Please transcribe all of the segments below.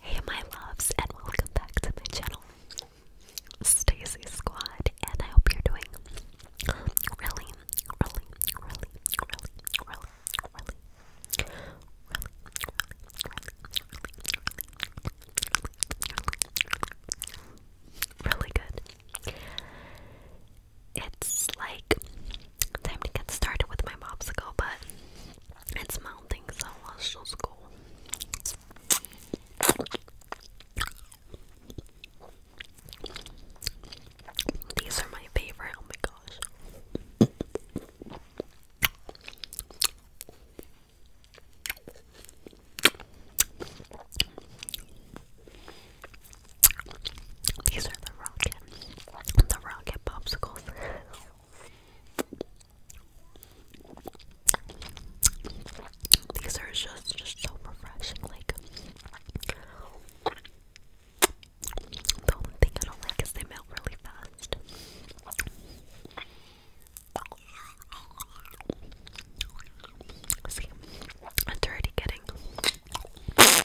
Hey my loves and welcome back to my channel. Stacy Squad and I hope you're doing really, really, really, really, really, really, really, really, really, really, good. It's like time to get started with my mobs but it's smell so I was so cool. These are my favorite, oh my gosh. These are the rockets the rocket popsicles. These are just just so refreshing. Like the only thing I don't like is they melt really fast. See, I'm dirty getting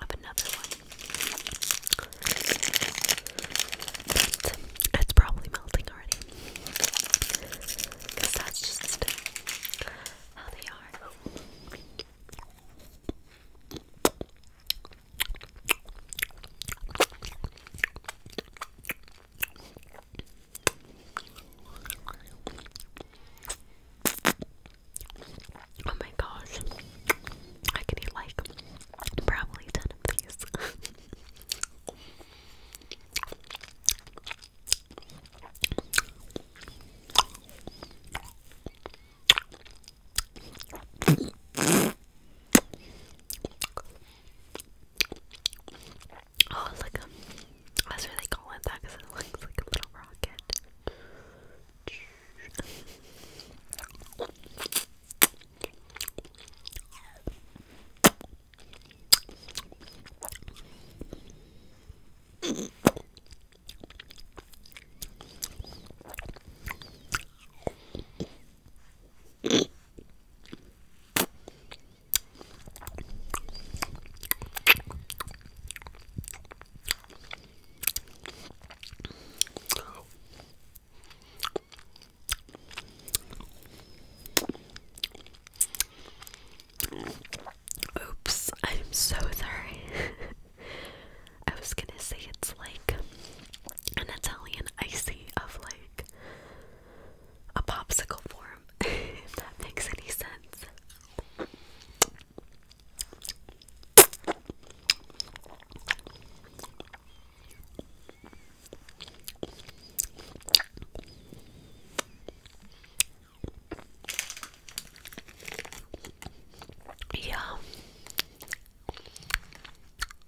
of another one. But probably melting already. Because that's just how they are. Oh my gosh. I can eat like probably 10 of these. Oh, it's like a. That's that because it looks like a little rocket. Oops, I'm so sorry. I was gonna say it's like an Italian icy of like a popsicle form, warm, if that makes any sense. Yeah.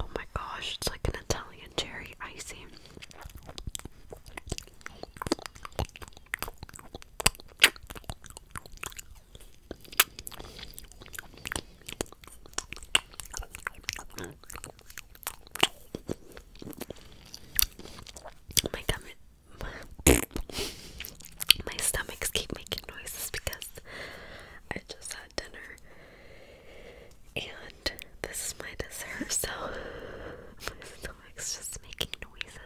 Oh my gosh, it's like an Italian cherry icing. My stomachs keep making noises because I just dinner. And this is my dessert, so my stomach's just making noises.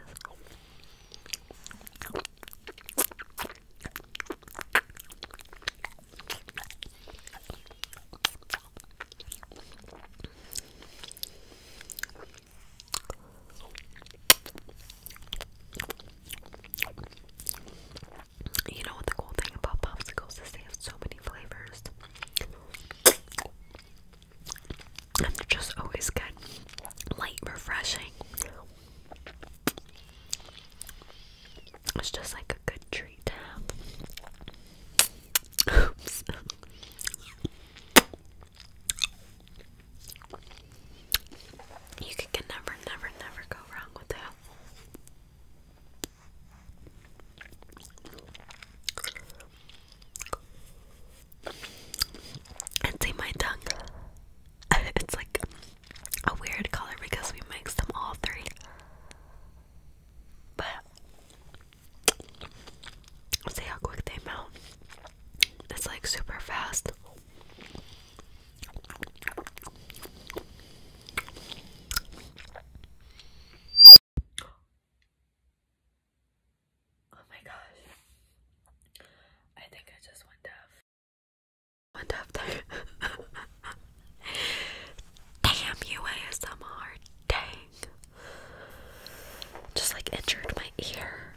You know what the cool thing about popsicles is they have so many flavors. And they're just always good. Light, refreshing. It's just like a good treat to have. You can, can never, never, never go wrong with that. And see my tongue. it's like a weird color because we mix them all three. But see how quick they melt. It's like super fast. Oh my gosh. I think I just went deaf. Went deaf there. Damn you ASMR. Dang. Just like injured my ear.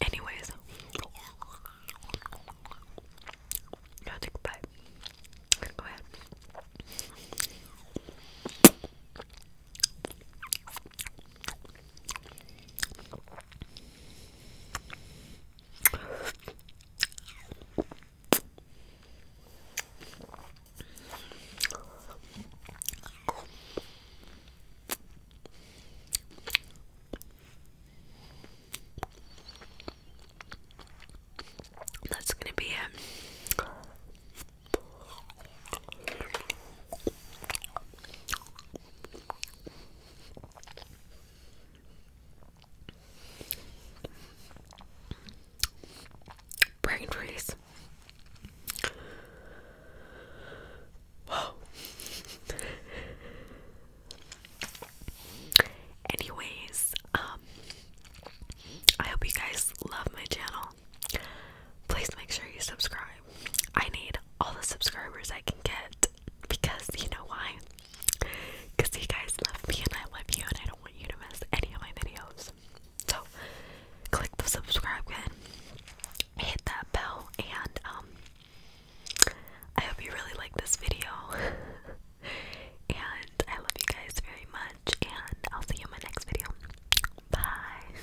Anyways, no, take a bite. Go ahead. That's going to be it. Brain freeze. Whoa. Anyways, um, I hope you guys love my channel. Please make sure you subscribe. I need all the subscribers I can get because you know why? Because you guys love me and I love you, and I don't want you to miss any of my videos. So, click the subscribe button, hit that bell, and um, I hope you really like this video. and I love you guys very much, and I'll see you in my next video. Bye.